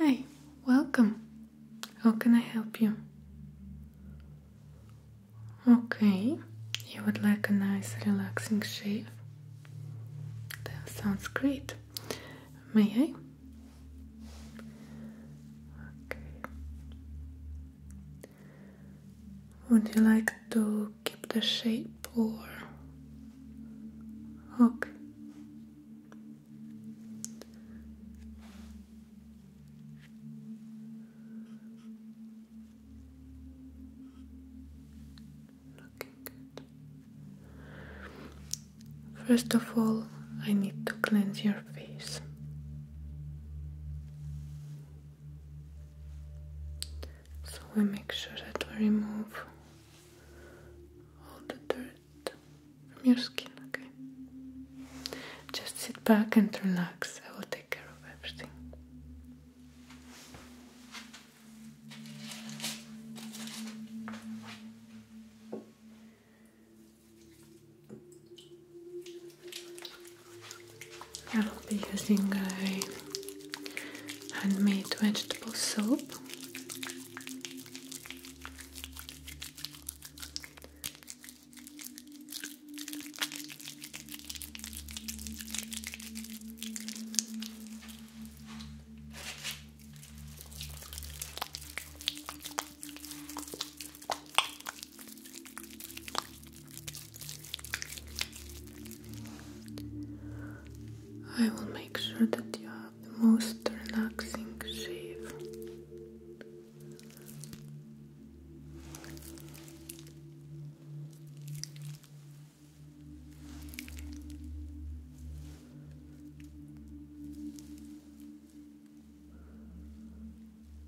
Hi, welcome. How can I help you? Okay, you would like a nice relaxing shave? That sounds great. May I? Would you like to keep the shape or okay? First of all, I need to cleanse your face. So we make sure that we remove all the dirt from your skin, okay? Just sit back and relax. I will take care of everything. I'll be using a handmade vegetable soap. I will make sure that you have the most relaxing shave.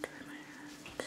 Try my hand.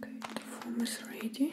Okay, the form is ready.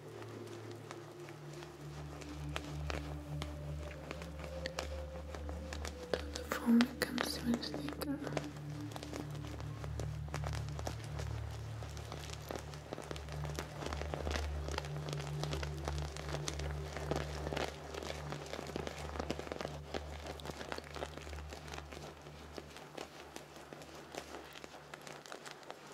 the form comes with sticker.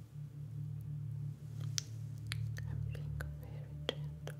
I'm being very gentle.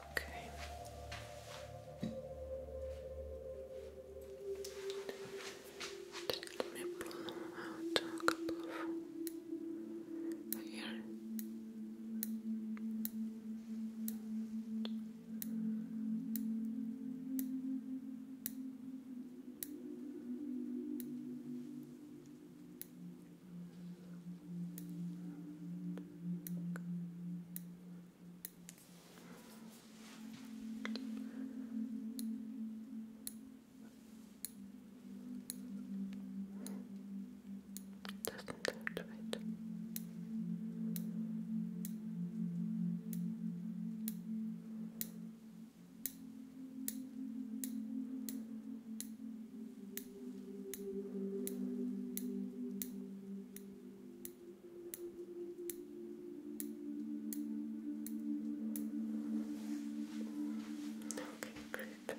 Okay. Let me blow out a couple of here. Doesn't sound right. Doesn't Okay, good. Beautiful.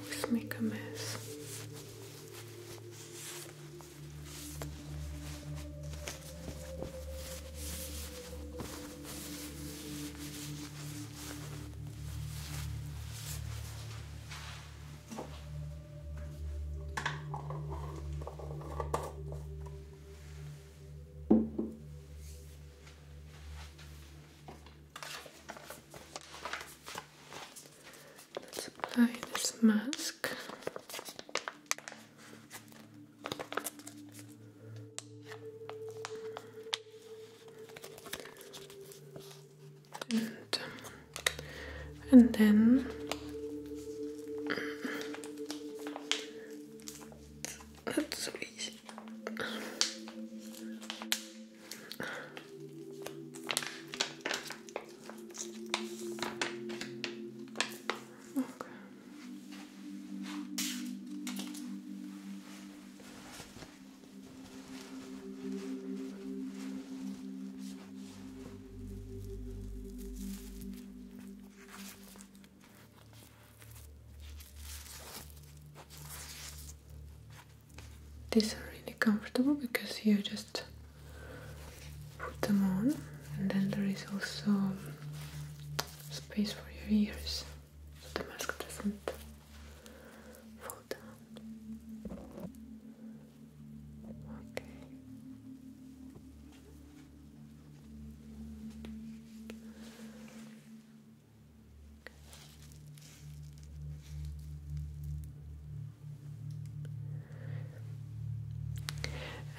Always make a mess apply this mask. and um, then mm, that's so easy. Okay. These are really comfortable because you just put them on and then there is also space for your ears so the mask doesn't fall down. Okay.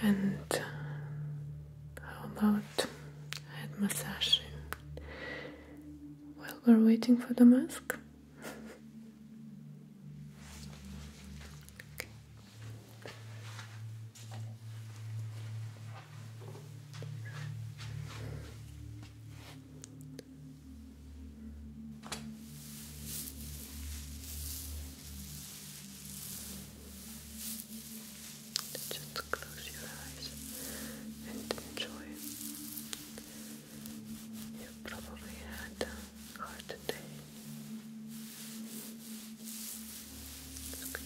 And uh, how about head massaging while we're waiting for the mask? Just close your eyes and enjoy. You probably had a hard day. Okay.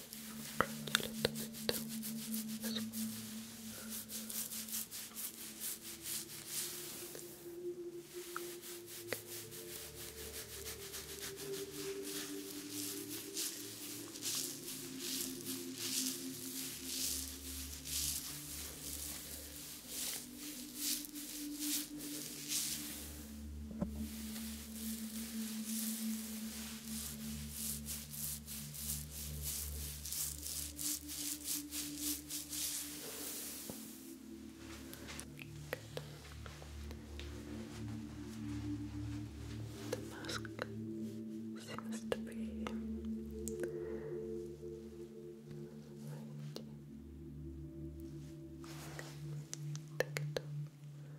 Scratch a little bit as well. Okay. The mask seems to be right. Take it off.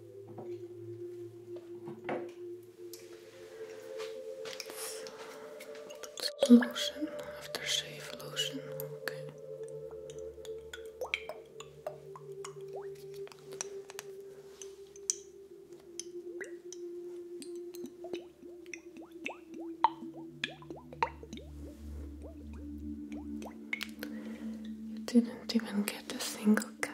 Lotion, aftershave lotion, okay. You didn't even get a single cut.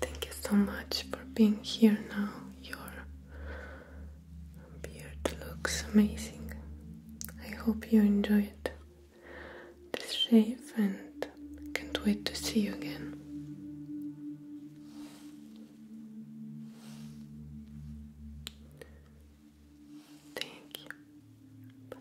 Thank you so much for being here now. Your beard looks amazing. I hope you enjoyed the shave and can't wait to see you again. Thank you. Bye.